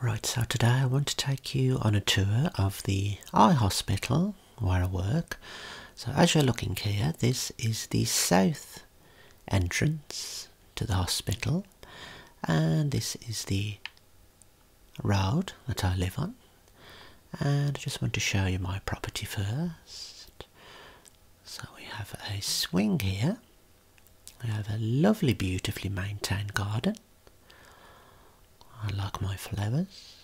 Right, so today I want to take you on a tour of the eye hospital where I work. So as you're looking here, this is the south entrance to the hospital and this is the road that I live on. And I just want to show you my property first. So we have a swing here I have a lovely, beautifully maintained garden. I like my flowers.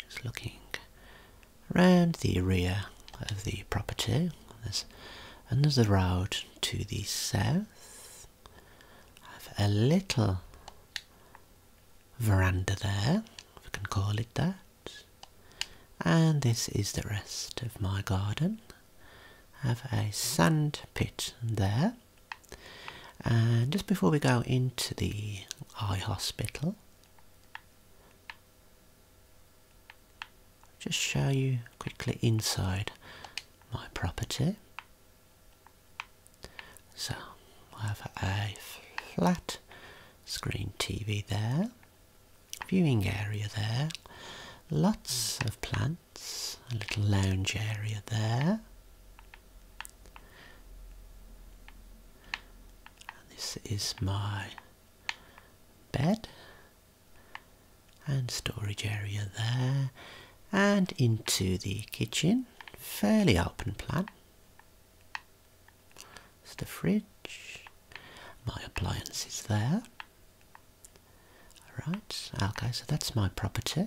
just looking around the rear of the property. There's a road to the south. I have a little veranda there, We can call it that. And this is the rest of my garden. I have a sand pit there. And just before we go into the eye hospital, just show you quickly inside my property. So I have a flat screen TV there viewing area there. Lots of plants, a little lounge area there. This is my bed and storage area there and into the kitchen, fairly open plan. It's the fridge. My appliance is there. Alright, okay, so that's my property.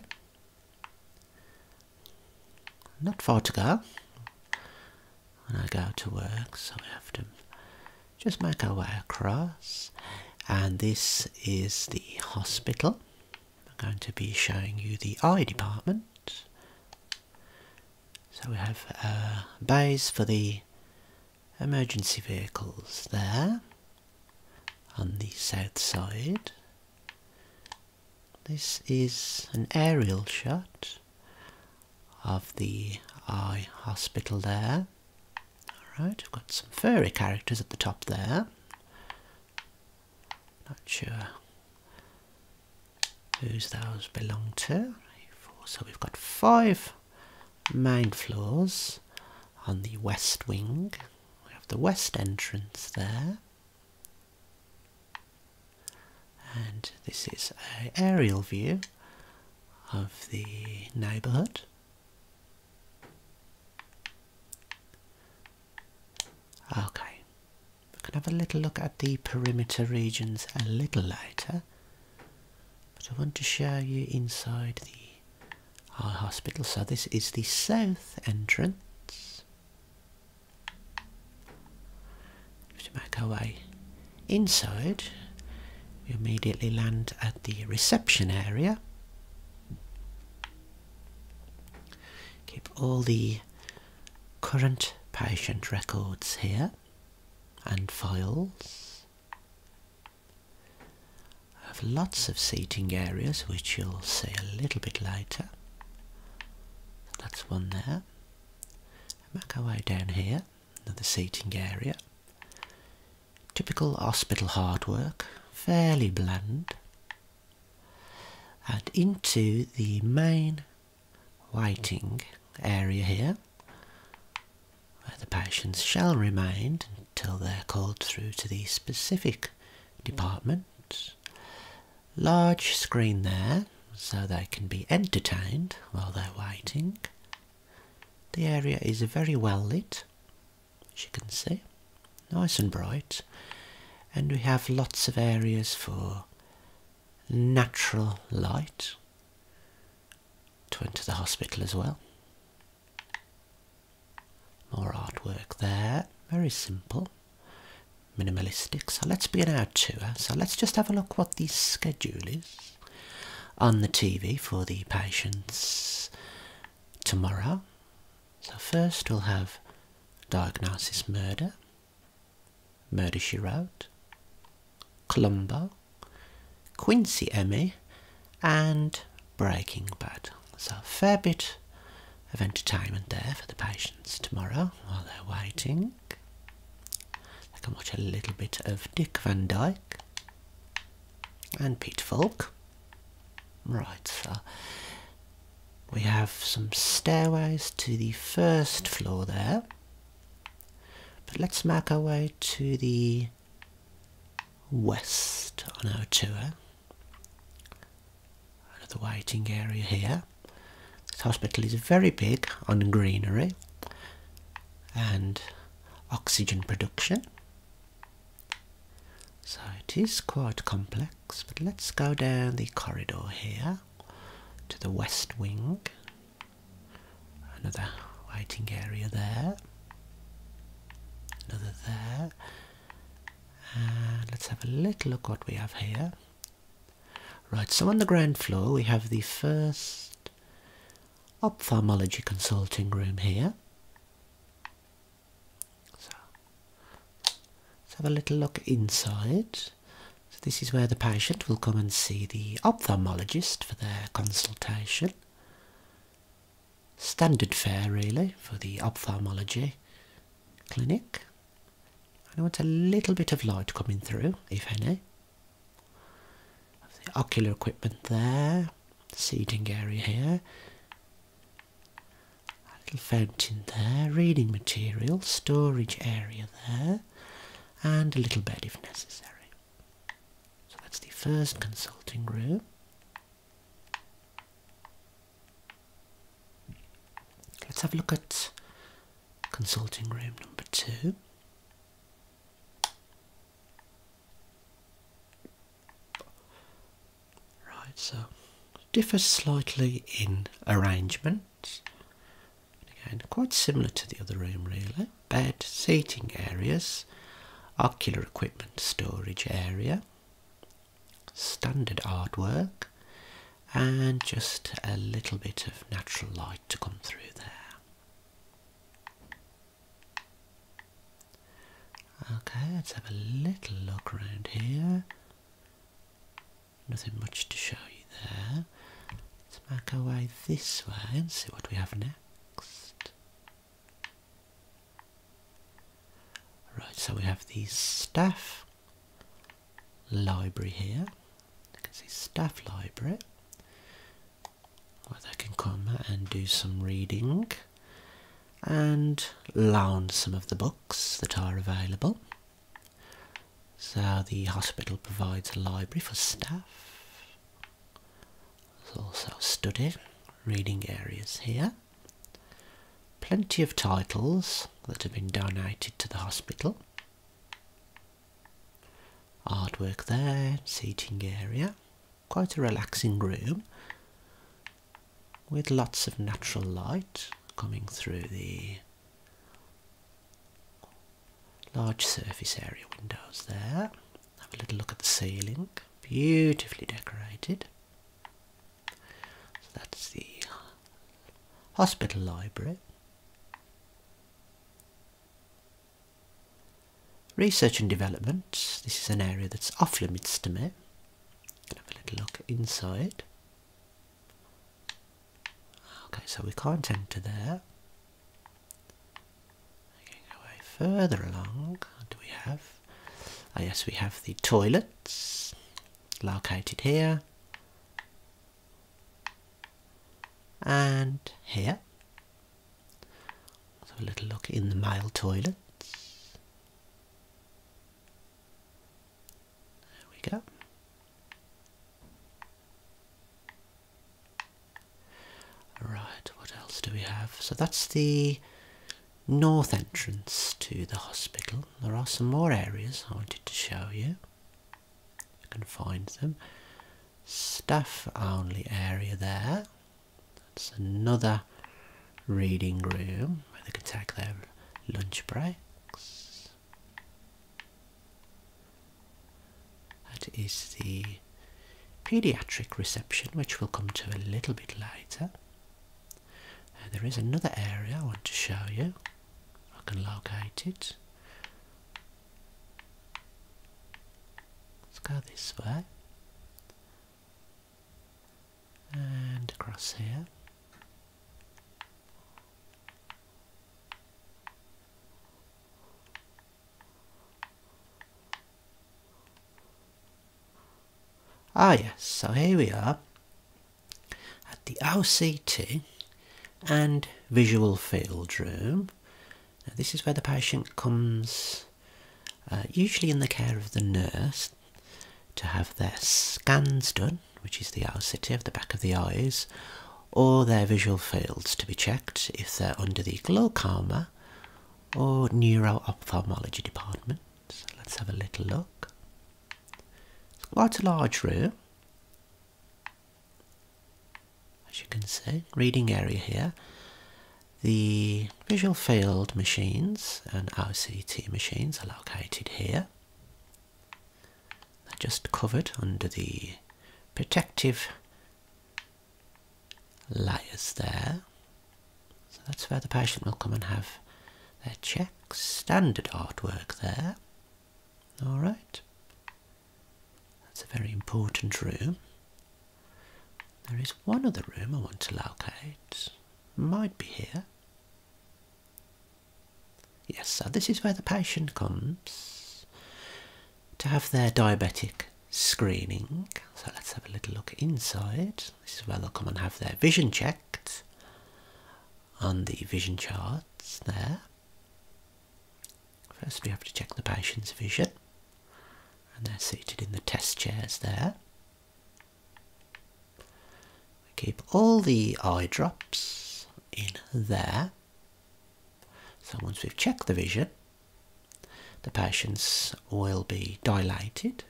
Not far to go when I go to work, so we have to just make our way across. And this is the hospital. I'm going to be showing you the eye department. So we have uh, bays for the emergency vehicles there on the south side. This is an aerial shot of the eye hospital there. Alright, right, have got some furry characters at the top there. Not sure whose those belong to. So we've got five Mine floors on the west wing. We have the west entrance there. And this is an aerial view of the neighbourhood. Okay, we can have a little look at the perimeter regions a little later. But I want to show you inside the hospital. So this is the south entrance. To make our way inside, we immediately land at the reception area. Keep all the current patient records here and files. have lots of seating areas which you'll see a little bit later. That's one there. Make our way down here, another seating area. Typical hospital hard work, fairly bland. And into the main waiting area here where the patients shall remain until they're called through to the specific department. Large screen there so they can be entertained while they're waiting. The area is very well lit, as you can see, nice and bright, and we have lots of areas for natural light to enter the hospital as well. More artwork there, very simple, minimalistic. So let's be an hour tour. So let's just have a look what the schedule is on the TV for the patients tomorrow. So first we'll have diagnosis murder Murder She Wrote, Columbo, Quincy Emmy, and Breaking Bad. So a fair bit of entertainment there for the patients tomorrow while they're waiting. They can watch a little bit of Dick Van Dyke and Pete Falk. Right, so we have some stairways to the first floor there. But let's make our way to the west on our tour. Another waiting area here. This hospital is very big on greenery and oxygen production. So it is quite complex, but let's go down the corridor here to the west wing Another waiting area there. Another there. And let's have a little look what we have here. Right, so on the ground floor we have the first ophthalmology consulting room here. So let's have a little look inside. So this is where the patient will come and see the ophthalmologist for their consultation. Standard fare really for the ophthalmology clinic. I want a little bit of light coming through, if any. The ocular equipment there, seating area here, a little fountain there, reading material, storage area there and a little bed if necessary. So that's the first consulting room. Let's have a look at consulting room number two. Right, so differs slightly in arrangements. Again, quite similar to the other room really. Bed, seating areas, ocular equipment storage area, standard artwork, and just a little bit of natural light to come through there. Okay, let's have a little look around here. Nothing much to show you there. Let's make our way this way and see what we have next. Right, so we have the staff library here. You can see staff library where they can come and do some reading and loan some of the books that are available. So the hospital provides a library for staff. There's also study, reading areas here. Plenty of titles that have been donated to the hospital. Artwork there, seating area. Quite a relaxing room with lots of natural light coming through the Large surface area windows there. Have a little look at the ceiling. Beautifully decorated. So that's the hospital library. Research and development. This is an area that's off limits to me. Can have a little look inside. Okay, so we can't enter there. We away further along. do we have? Oh yes, we have the toilets located here. And here. have a little look in the male toilets. There we go. Right, what else do we have? So that's the north entrance to the hospital. There are some more areas I wanted to show you. I can find them. Staff only area there. That's another reading room where they can take their lunch breaks. That is the pediatric reception, which we'll come to a little bit later. Uh, there is another area I want to show you. I can locate it. Let's go this way and across here. Ah yes, so here we are at the OCT and visual field room. this is where the patient comes, uh, usually in the care of the nurse, to have their scans done which is the outer of the back of the eyes, or their visual fields to be checked if they're under the glaucoma or neuro-ophthalmology department. So let's have a little look. It's quite a large room. As you can see, reading area here. The visual field machines and RCT machines are located here they just covered under the protective layers there. So that's where the patient will come and have their checks. Standard artwork there. Alright. That's a very important room. There is one other room I want to locate. Might be here. Yes, so this is where the patient comes to have their diabetic screening. So let's have a little look inside. This is where they'll come and have their vision checked on the vision chart, there. First we have to check the patient's vision and they're seated in the test chairs there. Keep all the eye drops in there. So once we've checked the vision, the patients will be dilated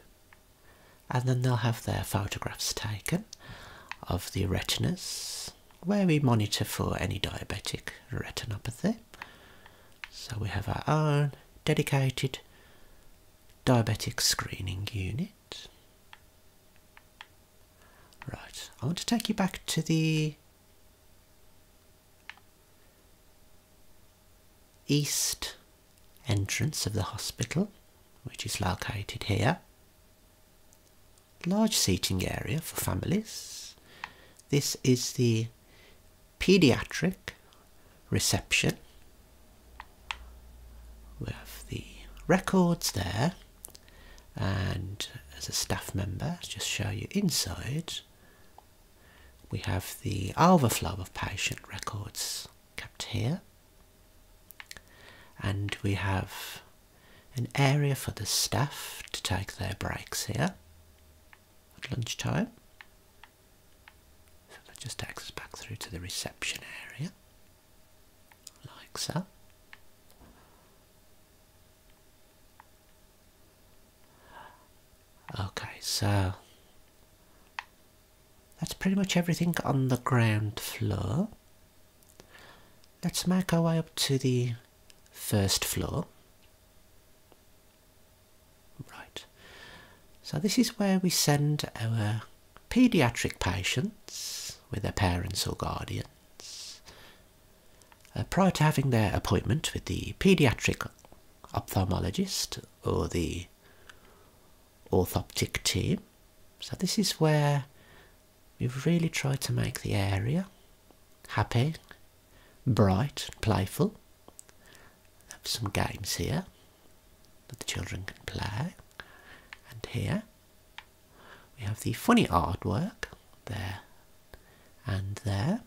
and then they'll have their photographs taken of the retinas where we monitor for any diabetic retinopathy. So we have our own dedicated diabetic screening unit. Right, I want to take you back to the east entrance of the hospital, which is located here. Large seating area for families. This is the paediatric reception we have the records there and as a staff member just show you inside we have the overflow of patient records kept here and we have an area for the staff to take their breaks here at lunchtime so that just takes us back through to the reception area like so. Okay, so that's pretty much everything on the ground floor. Let's make our way up to the first floor. Right, so this is where we send our pediatric patients with their parents or guardians, uh, prior to having their appointment with the pediatric ophthalmologist or the orthoptic team. So, this is where we've really tried to make the area happy, bright, playful. Have some games here that the children can play, and here we have the funny artwork there and there.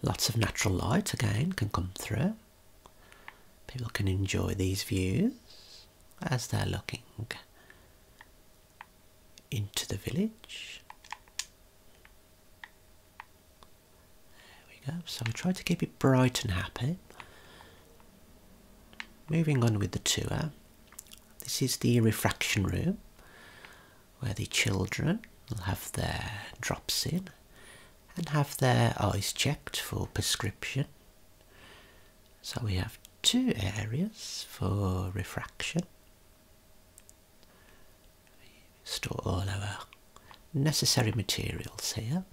Lots of natural light again can come through. People can enjoy these views as they're looking into the village. There we go. So I try to keep it bright and happy. Moving on with the tour, this is the refraction room where the children will have their drops in and have their eyes checked for prescription. So we have two areas for refraction. We store all our necessary materials here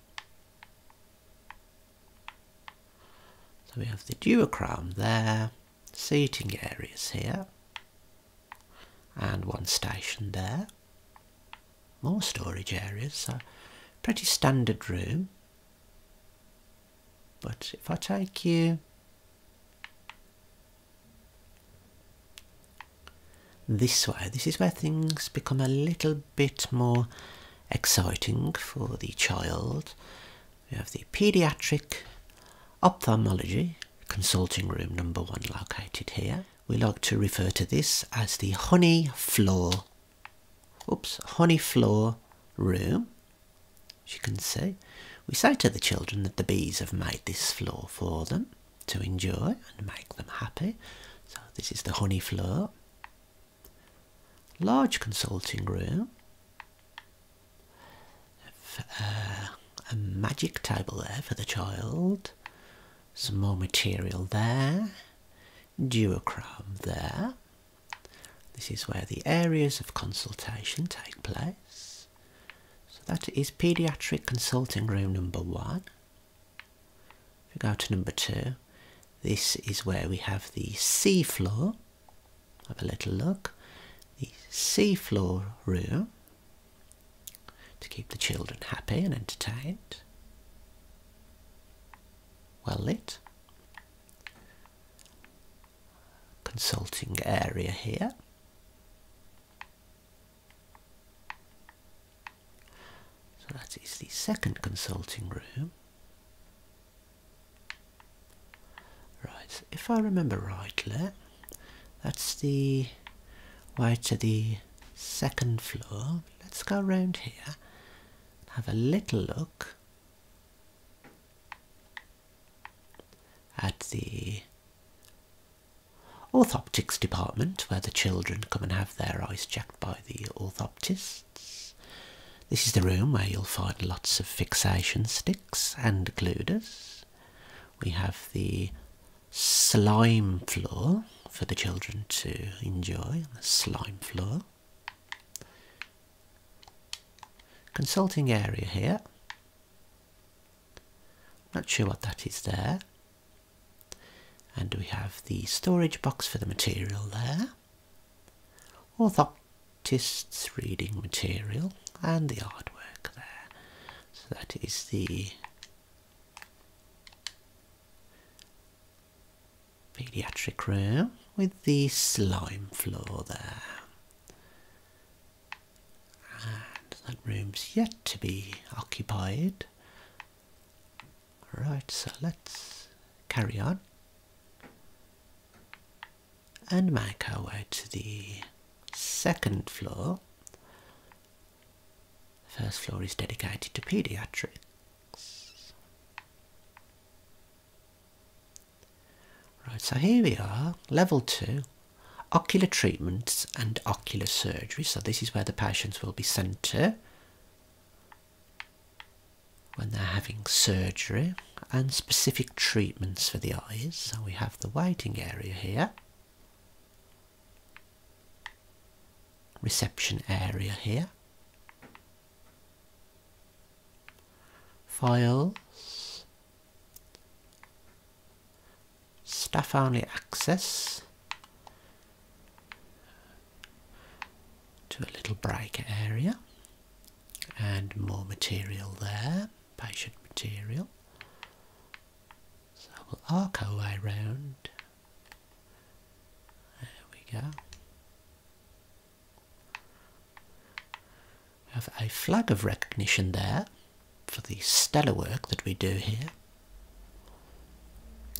so we have the duochrome there, seating areas here, and one station there. More storage areas, so pretty standard room. But if I take you this way. This is where things become a little bit more exciting for the child. We have the pediatric ophthalmology consulting room number one located here. We like to refer to this as the honey floor, oops, honey floor room. As you can see, we say to the children that the bees have made this floor for them to enjoy and make them happy. So this is the honey floor large consulting room uh, a magic table there for the child some more material there duochrome there this is where the areas of consultation take place so that is pediatric consulting room number one if we go to number two, this is where we have the sea floor. Have a little look. The sea floor room to keep the children happy and entertained. Well lit. Consulting area here. So that is the second consulting room. Right, if I remember rightly, that's the way to the second floor. Let's go around here, have a little look at the orthoptics department where the children come and have their eyes checked by the orthoptists. This is the room where you'll find lots of fixation sticks and gliders. We have the slime floor for the children to enjoy, the slime floor. Consulting area here. Not sure what that is there. And we have the storage box for the material there, orthoptist's reading material, and the artwork there. So that is the pediatric room with the slime floor there. And that room's yet to be occupied. Right, so let's carry on and make our way to the second floor. The first floor is dedicated to paediatrics. Right, so here we are, level two, ocular treatments and ocular surgery. So this is where the patients will be sent to when they're having surgery and specific treatments for the eyes. we have the waiting area here, reception area here, files, Staff only access to a little break area and more material there, patient material. So we'll arc our way round. There we go. We have a flag of recognition there for the stellar work that we do here.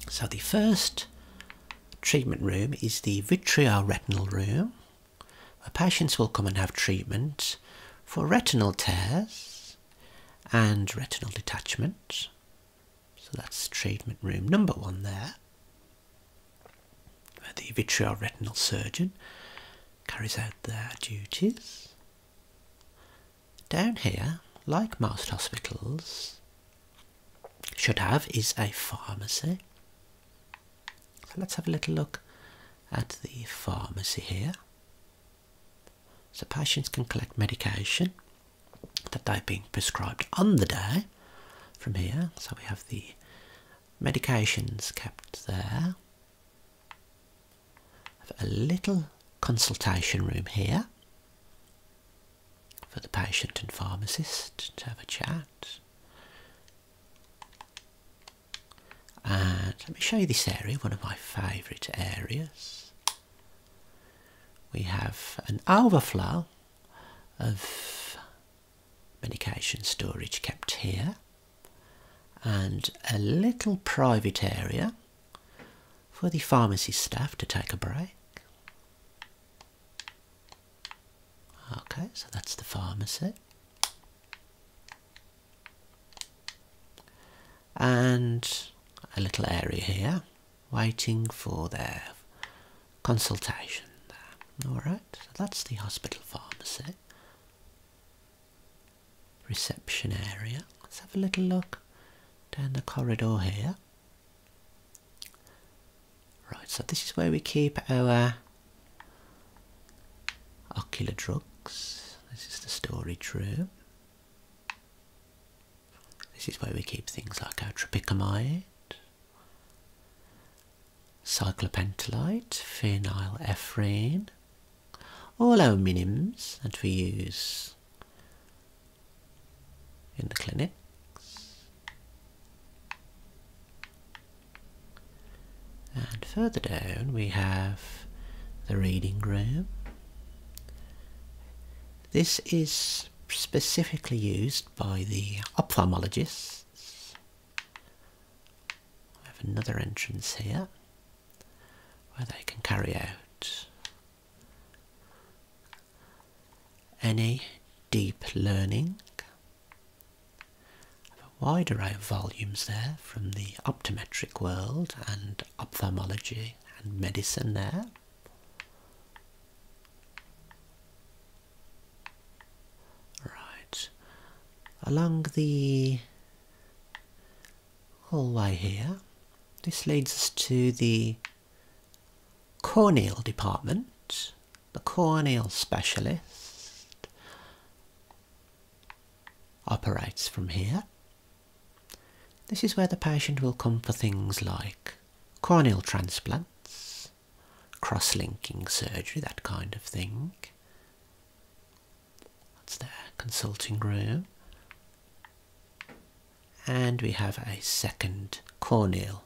So the first treatment room is the vitreoretinal room where patients will come and have treatment for retinal tears and retinal detachment. So that's treatment room number one there where the vitreoretinal surgeon carries out their duties. Down here, like most hospitals, should have is a pharmacy. So let's have a little look at the pharmacy here. So patients can collect medication that they've been prescribed on the day from here. So we have the medications kept there. a little consultation room here for the patient and pharmacist to have a chat. And let me show you this area, one of my favourite areas. We have an overflow of medication storage kept here and a little private area for the pharmacy staff to take a break. Okay, so that's the pharmacy. And a little area here, waiting for their consultation Alright, so that's the hospital pharmacy reception area. Let's have a little look down the corridor here. Right, so this is where we keep our ocular drugs. This is the storage room. This is where we keep things like our tropicamide, cyclopentolite, phenylephrine, all our minims that we use in the clinics. And further down we have the reading room. This is specifically used by the ophthalmologists. I have another entrance here where they can carry out any deep learning a wide array of volumes there from the optometric world and ophthalmology and medicine there. Right, along the all the way here. This leads us to the corneal department, the corneal specialist operates from here. This is where the patient will come for things like corneal transplants, cross-linking surgery, that kind of thing. That's there, consulting room. And we have a second Corneal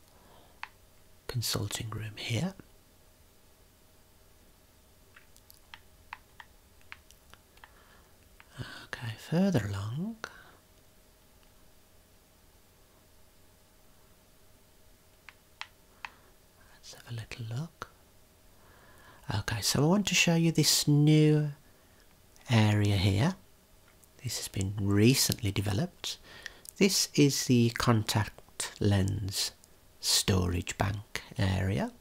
consulting room here. Okay, further along. Let's have a little look. Okay, so I want to show you this new area here. This has been recently developed. This is the contact lens storage bank area.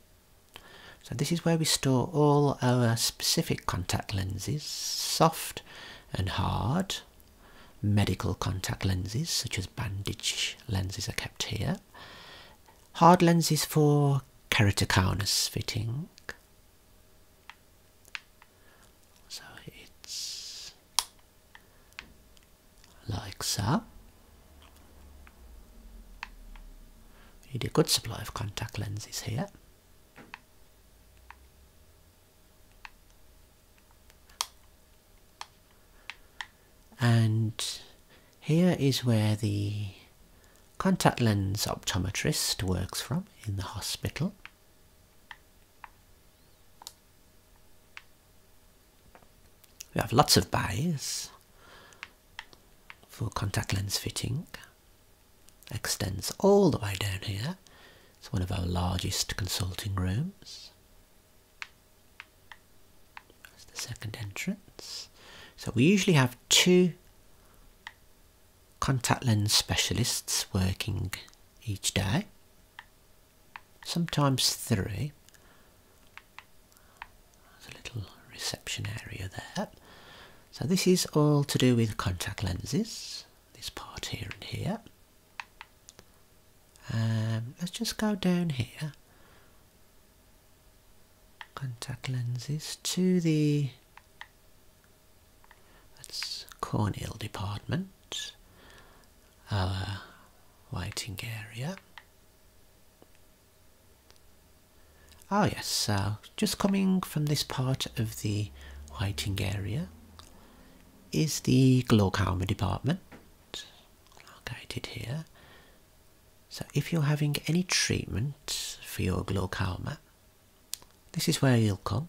So this is where we store all our specific contact lenses, soft and hard. Medical contact lenses such as bandage lenses are kept here. Hard lenses for keratoconus fitting. So it's like so. Need a good supply of contact lenses here. And here is where the contact lens optometrist works from in the hospital. We have lots of bays for contact lens fitting. Extends all the way down here. It's one of our largest consulting rooms. That's the second entrance. So we usually have two Contact lens specialists working each day, sometimes three. There's a little reception area there. So this is all to do with contact lenses, this part here and here. Um, let's just go down here contact lenses to the that's corneal department, our waiting area. Oh yes, so just coming from this part of the waiting area is the glaucoma department located here so if you're having any treatment for your glaucoma, this is where you'll come.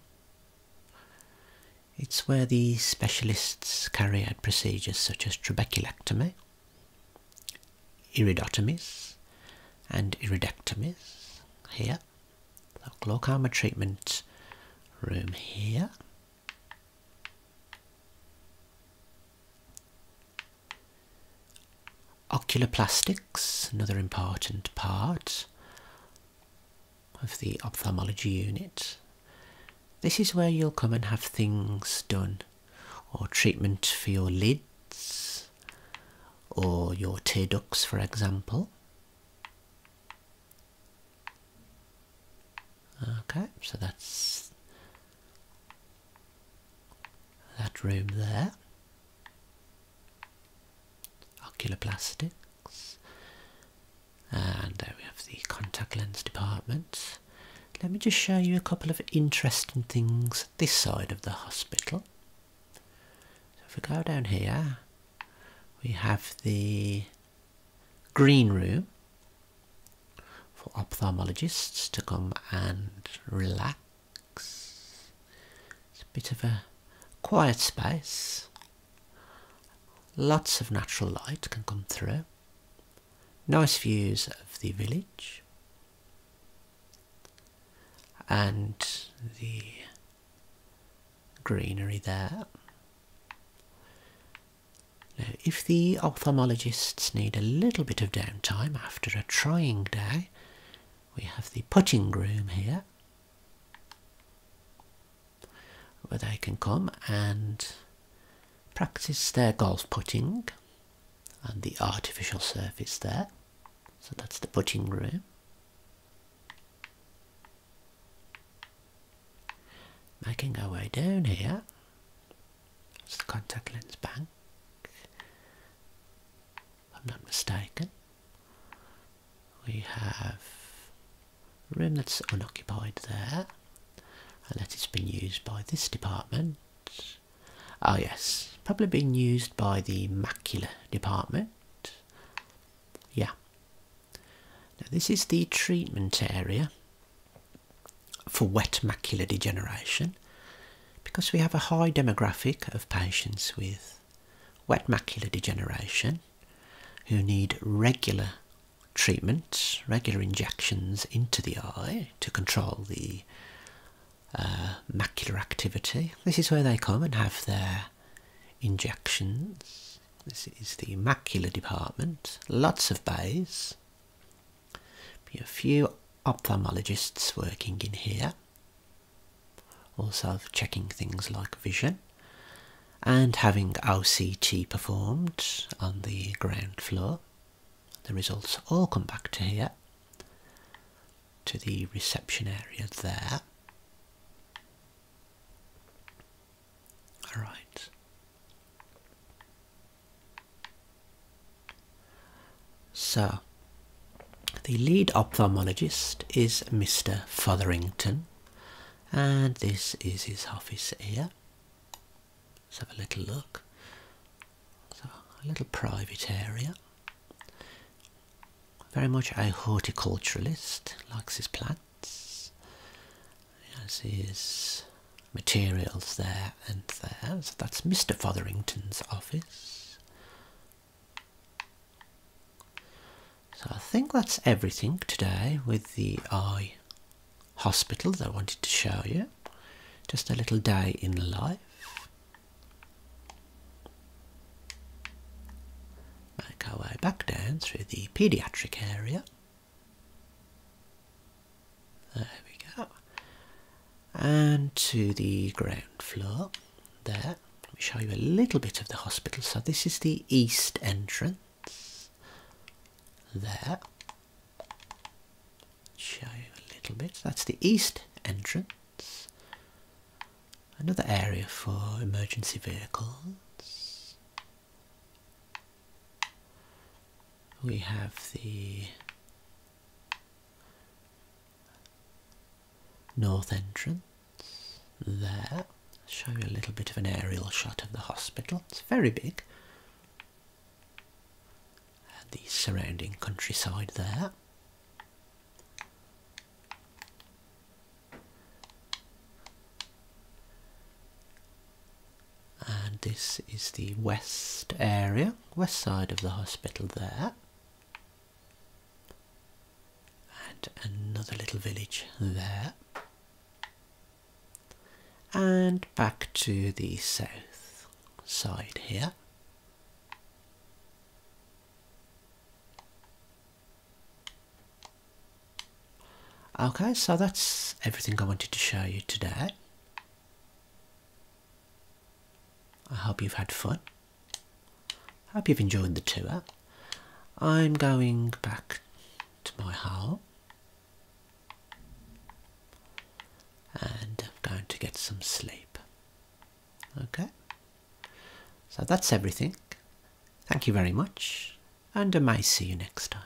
It's where the specialists carry out procedures such as trabeculectomy, iridotomies and iridectomies here. the glaucoma treatment room here. Oculoplastics, another important part of the ophthalmology unit. This is where you'll come and have things done or treatment for your lids or your tear ducts, for example. Okay, so that's that room there. Ocular plastics. And there we have the contact lens department. Let me just show you a couple of interesting things this side of the hospital. So if we go down here, we have the green room for ophthalmologists to come and relax. It's a bit of a quiet space. Lots of natural light can come through. Nice views of the village and the greenery there. Now, if the ophthalmologists need a little bit of downtime after after a trying day. We have the putting room here where they can come and practice their golf putting and the artificial surface there. So that's the putting room. Making our way down here, it's the contact lens bank. I'm not mistaken. We have a room that's unoccupied there, and it's been used by this department. Oh yes, probably been used by the macula department. Yeah. Now this is the treatment area for wet macular degeneration because we have a high demographic of patients with wet macular degeneration who need regular treatments, regular injections into the eye to control the uh, macular activity. This is where they come and have their injections. This is the macular department, lots of bays. Be a few ophthalmologists working in here, also checking things like vision, and having OCT performed on the ground floor. The results all come back to here, to the reception area there. Alright, so, the lead ophthalmologist is Mr. Fotherington, and this is his office here. Let's have a little look. So, a little private area. Very much a horticulturalist, likes his plants. As his materials there and there. So that's Mr. Fotherington's office. So I think that's everything today with the eye hospital that I wanted to show you. Just a little day in life. Make our way back down through the paediatric area. There we go. And to the ground floor there. Let me show you a little bit of the hospital. So this is the east entrance. There. Show you a little bit. That's the east entrance. Another area for emergency vehicles we have the north entrance there. Show you a little bit of an aerial shot of the hospital. It's very big. And the surrounding countryside there and this is the west area, west side of the hospital there. And another little village there. And back to the south side here. Okay, so that's everything I wanted to show you today. I hope you've had fun. Hope you've enjoyed the tour. I'm going back to my hole and I'm going to get some sleep. Okay, so that's everything. Thank you very much, and I may see you next time.